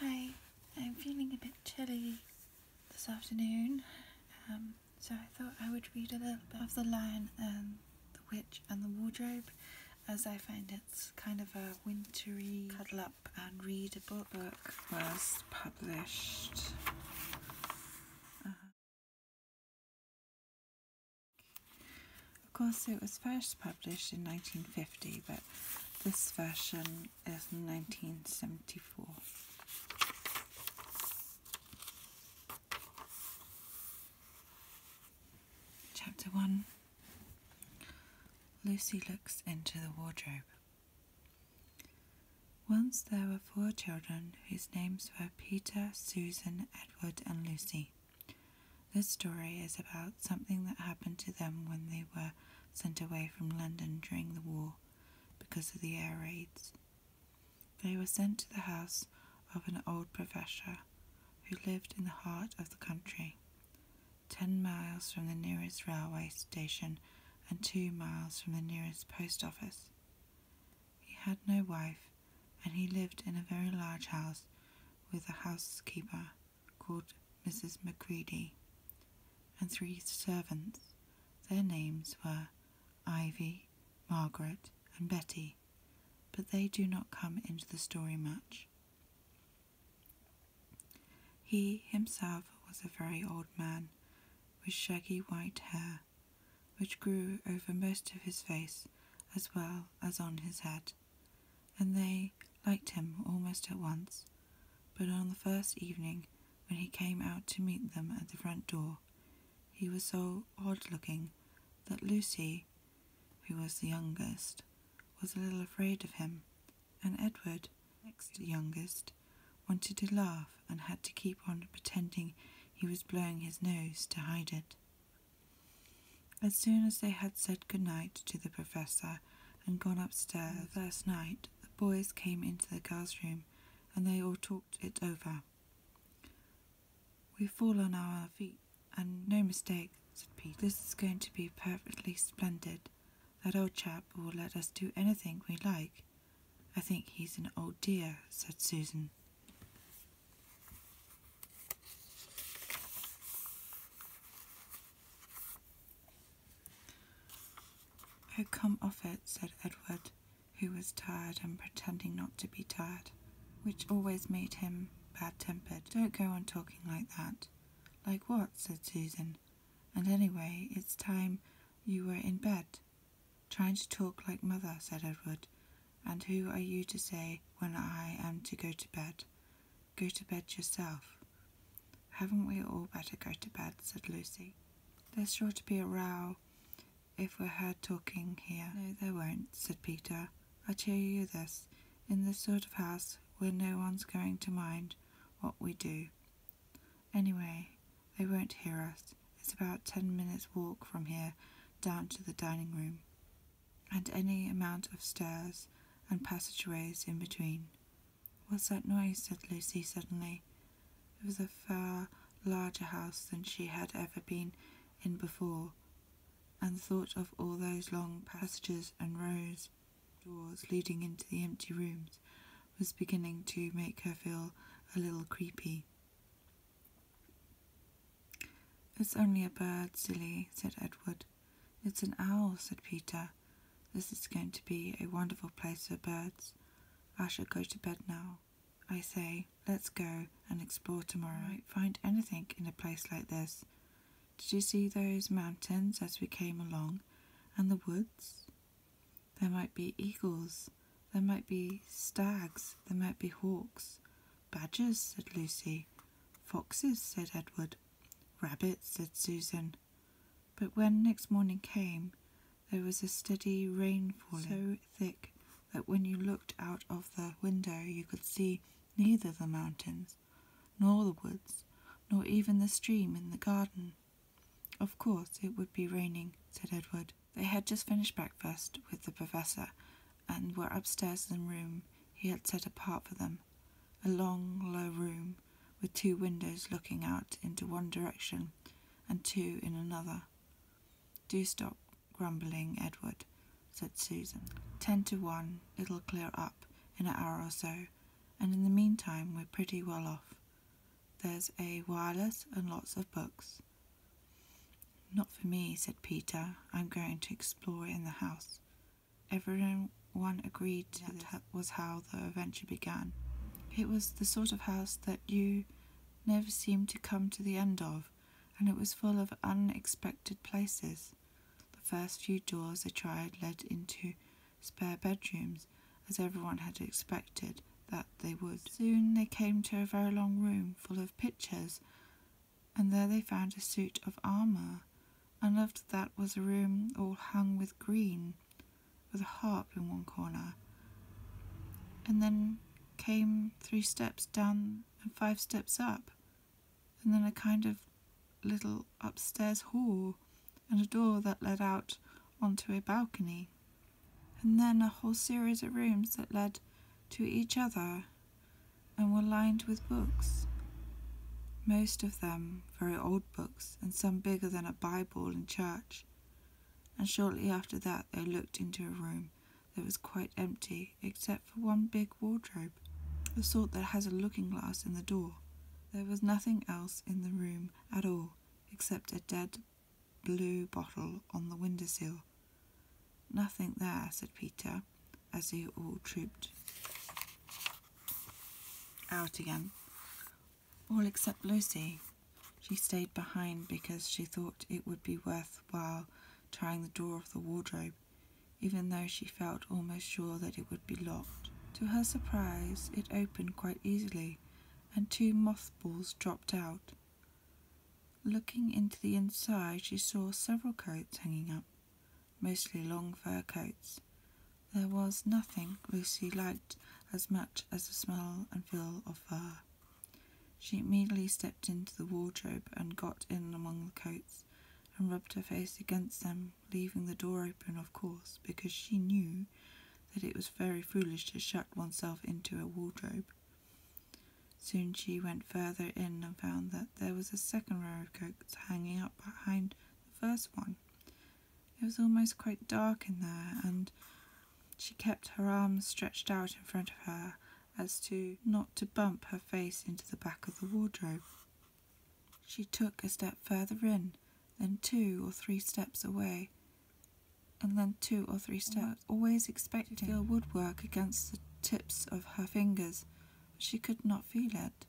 Hi, I'm feeling a bit chilly this afternoon, um, so I thought I would read a little bit of The Lion and the Witch and the Wardrobe as I find it's kind of a wintry cuddle up and readable book. First published. Uh, of course, it was first published in 1950, but this version is 1974. Chapter 1 Lucy looks into the wardrobe. Once there were four children whose names were Peter, Susan, Edward, and Lucy. This story is about something that happened to them when they were sent away from London during the war because of the air raids. They were sent to the house of an old professor who lived in the heart of the country, ten miles from the nearest railway station and two miles from the nearest post office. He had no wife, and he lived in a very large house with a housekeeper called Mrs. Macready and three servants. Their names were Ivy, Margaret, and Betty, but they do not come into the story much. He himself was a very old man, with shaggy white hair which grew over most of his face as well as on his head, and they liked him almost at once. But on the first evening, when he came out to meet them at the front door, he was so odd looking that Lucy, who was the youngest, was a little afraid of him, and Edward, next youngest, wanted to laugh and had to keep on pretending he was blowing his nose to hide it. As soon as they had said good night to the professor and gone upstairs the first night, the boys came into the girls' room and they all talked it over. We fall on our feet, and no mistake, said Pete. This is going to be perfectly splendid. That old chap will let us do anything we like. I think he's an old dear, said Susan. Oh, come off it, said Edward, who was tired and pretending not to be tired, which always made him bad tempered. Don't go on talking like that. Like what? said Susan. And anyway, it's time you were in bed. Trying to talk like mother, said Edward. And who are you to say when I am to go to bed? Go to bed yourself. Haven't we all better go to bed? said Lucy. There's sure to be a row if we're heard talking here. No, there won't, said Peter. I tell you this in this sort of house where no one's going to mind what we do. Anyway, they won't hear us. It's about ten minutes' walk from here down to the dining room, and any amount of stairs and passageways in between. What's that noise? said Lucy suddenly. It was a far larger house than she had ever been in before, and the thought of all those long passages and rows of doors leading into the empty rooms was beginning to make her feel a little creepy. It's only a bird, silly, said Edward. It's an owl, said Peter. This is going to be a wonderful place for birds. I shall go to bed now. I say, let's go and explore tomorrow. I find anything in a place like this. Did you see those mountains as we came along, and the woods? There might be eagles there might be stags, there might be hawks. Badgers, said Lucy. Foxes, said Edward. Rabbits, said Susan. But when next morning came, there was a steady rain falling so thick that when you looked out of the window you could see neither the mountains, nor the woods, nor even the stream in the garden. Of course it would be raining, said Edward. They had just finished breakfast with the Professor and were upstairs in a room he had set apart for them a long, low room with two windows looking out into one direction and two in another. Do stop grumbling, Edward, said Susan. "Ten to one, it'll clear up in an hour or so, and in the meantime we're pretty well off. There's a wireless and lots of books. Not for me, said Peter. I'm going to explore in the house. Everyone agreed that was how the adventure began. It was the sort of house that you never seemed to come to the end of, and it was full of unexpected places. The first few doors they tried led into spare bedrooms, as everyone had expected, that they would. Soon they came to a very long room full of pictures, and there they found a suit of armour, and after that was a room all hung with green, with a harp in one corner. And then came three steps down and five steps up, and then a kind of little upstairs hall, and a door that led out onto a balcony and then a whole series of rooms that led to each other and were lined with books. Most of them very old books, and some bigger than a Bible in church. And shortly after that, they looked into a room that was quite empty, except for one big wardrobe, the sort that has a looking glass in the door. There was nothing else in the room at all except a dead blue bottle on the window sill. Nothing there, said Peter, as they all trooped out again. All except Lucy. She stayed behind because she thought it would be worth while trying the door of the wardrobe, even though she felt almost sure that it would be locked. To her surprise, it opened quite easily, and two mothballs dropped out. Looking into the inside, she saw several coats hanging up, mostly long fur coats. There was nothing Lucy liked as much as the smell and feel of fur. She immediately stepped into the wardrobe and got in among the coats and rubbed her face against them, leaving the door open, of course, because she knew that it was very foolish to shut oneself into a wardrobe. Soon she went further in and found that there was a second row of coats hanging up behind the first one. It was almost quite dark in there, and she kept her arms stretched out in front of her as to not to bump her face into the back of the wardrobe. She took a step further in, then two or three steps away, and then two or three mm. steps, always expecting to feel woodwork against the tips of her fingers, but she could not feel it.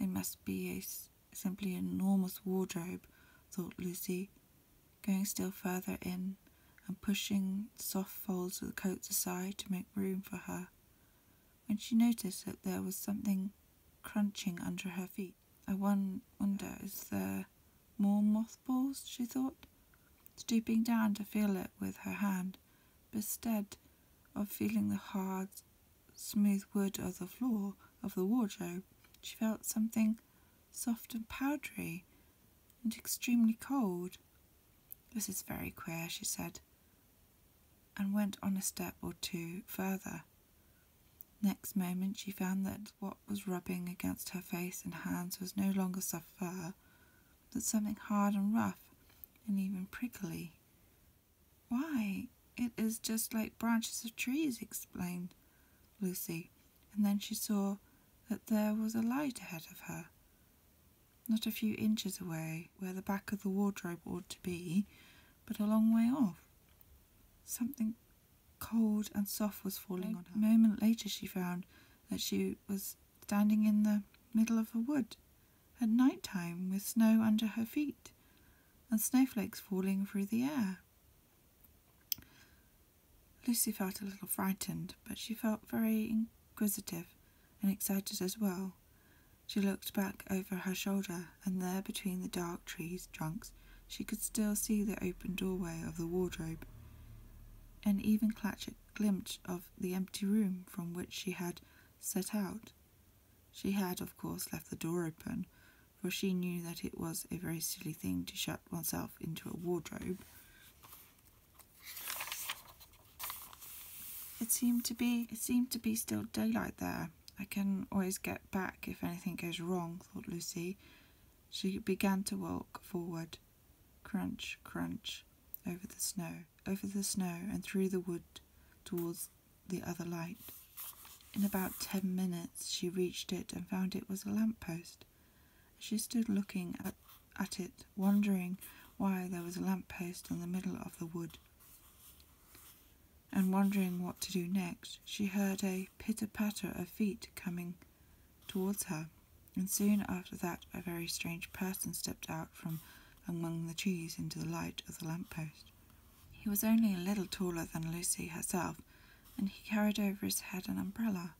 It must be a simply enormous wardrobe, thought Lucy, going still further in and pushing the soft folds of the coats aside to make room for her. When she noticed that there was something crunching under her feet, I wonder, is there more mothballs, she thought, stooping down to feel it with her hand, instead of feeling the hard, smooth wood of the floor of the wardrobe, she felt something soft and powdery and extremely cold. This is very queer, she said, and went on a step or two further. Next moment she found that what was rubbing against her face and hands was no longer of fur, but something hard and rough and even prickly. Why, it is just like branches of trees, explained Lucy, and then she saw that there was a light ahead of her. Not a few inches away, where the back of the wardrobe ought to be, but a long way off. Something cold and soft was falling on her. A moment later she found that she was standing in the middle of a wood at night time with snow under her feet and snowflakes falling through the air. Lucy felt a little frightened, but she felt very inquisitive and excited as well. She looked back over her shoulder, and there between the dark trees trunks she could still see the open doorway of the wardrobe and even catch a glimpse of the empty room from which she had set out. She had, of course, left the door open, for she knew that it was a very silly thing to shut oneself into a wardrobe. It seemed to be it seemed to be still daylight there. I can always get back if anything goes wrong, thought Lucy. She began to walk forward. Crunch, crunch, over the snow, over the snow, and through the wood towards the other light. In about ten minutes she reached it and found it was a lamp post. She stood looking at, at it, wondering why there was a lamp post in the middle of the wood. And wondering what to do next, she heard a pitter patter of feet coming towards her, and soon after that a very strange person stepped out from among the trees into the light of the lamp post. He was only a little taller than Lucy herself, and he carried over his head an umbrella,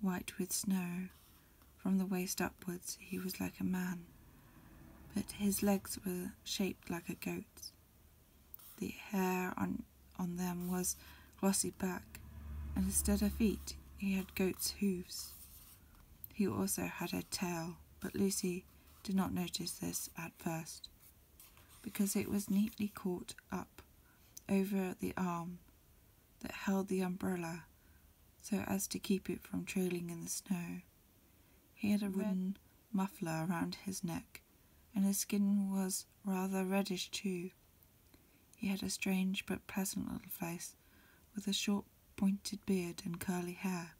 white with snow. From the waist upwards, he was like a man, but his legs were shaped like a goat's. The hair on on them was glossy back, and instead of feet he had goat's hoofs. He also had a tail, but Lucy did not notice this at first, because it was neatly caught up over the arm that held the umbrella so as to keep it from trailing in the snow. He had a wooden muffler around his neck, and his skin was rather reddish too. He had a strange but pleasant little face, with a short pointed beard and curly hair.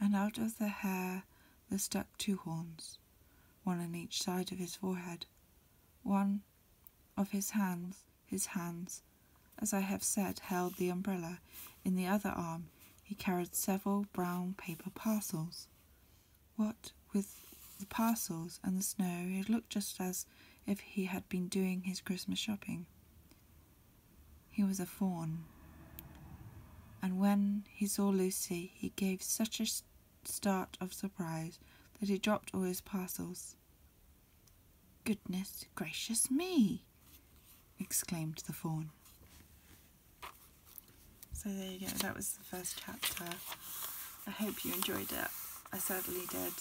And out of the hair there stuck two horns, one on each side of his forehead. One of his hands, his hands, as I have said, held the umbrella. In the other arm, he carried several brown paper parcels. What with the parcels and the snow, it looked just as if he had been doing his Christmas shopping. He was a fawn. And when he saw Lucy, he gave such a start of surprise that he dropped all his parcels. Goodness gracious me! exclaimed the fawn. So there you go, that was first chapter. I hope you enjoyed it. I certainly did.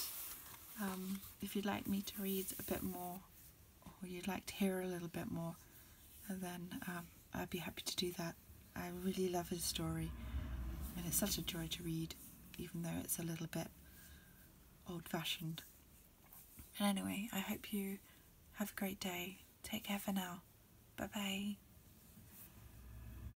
Um, if you'd like me to read a bit more or you'd like to hear a little bit more, then um, I'd be happy to do that. I really love his story and it's such a joy to read, even though it's a little bit old fashioned. But anyway, I hope you have a great day. Take care for now. Bye bye.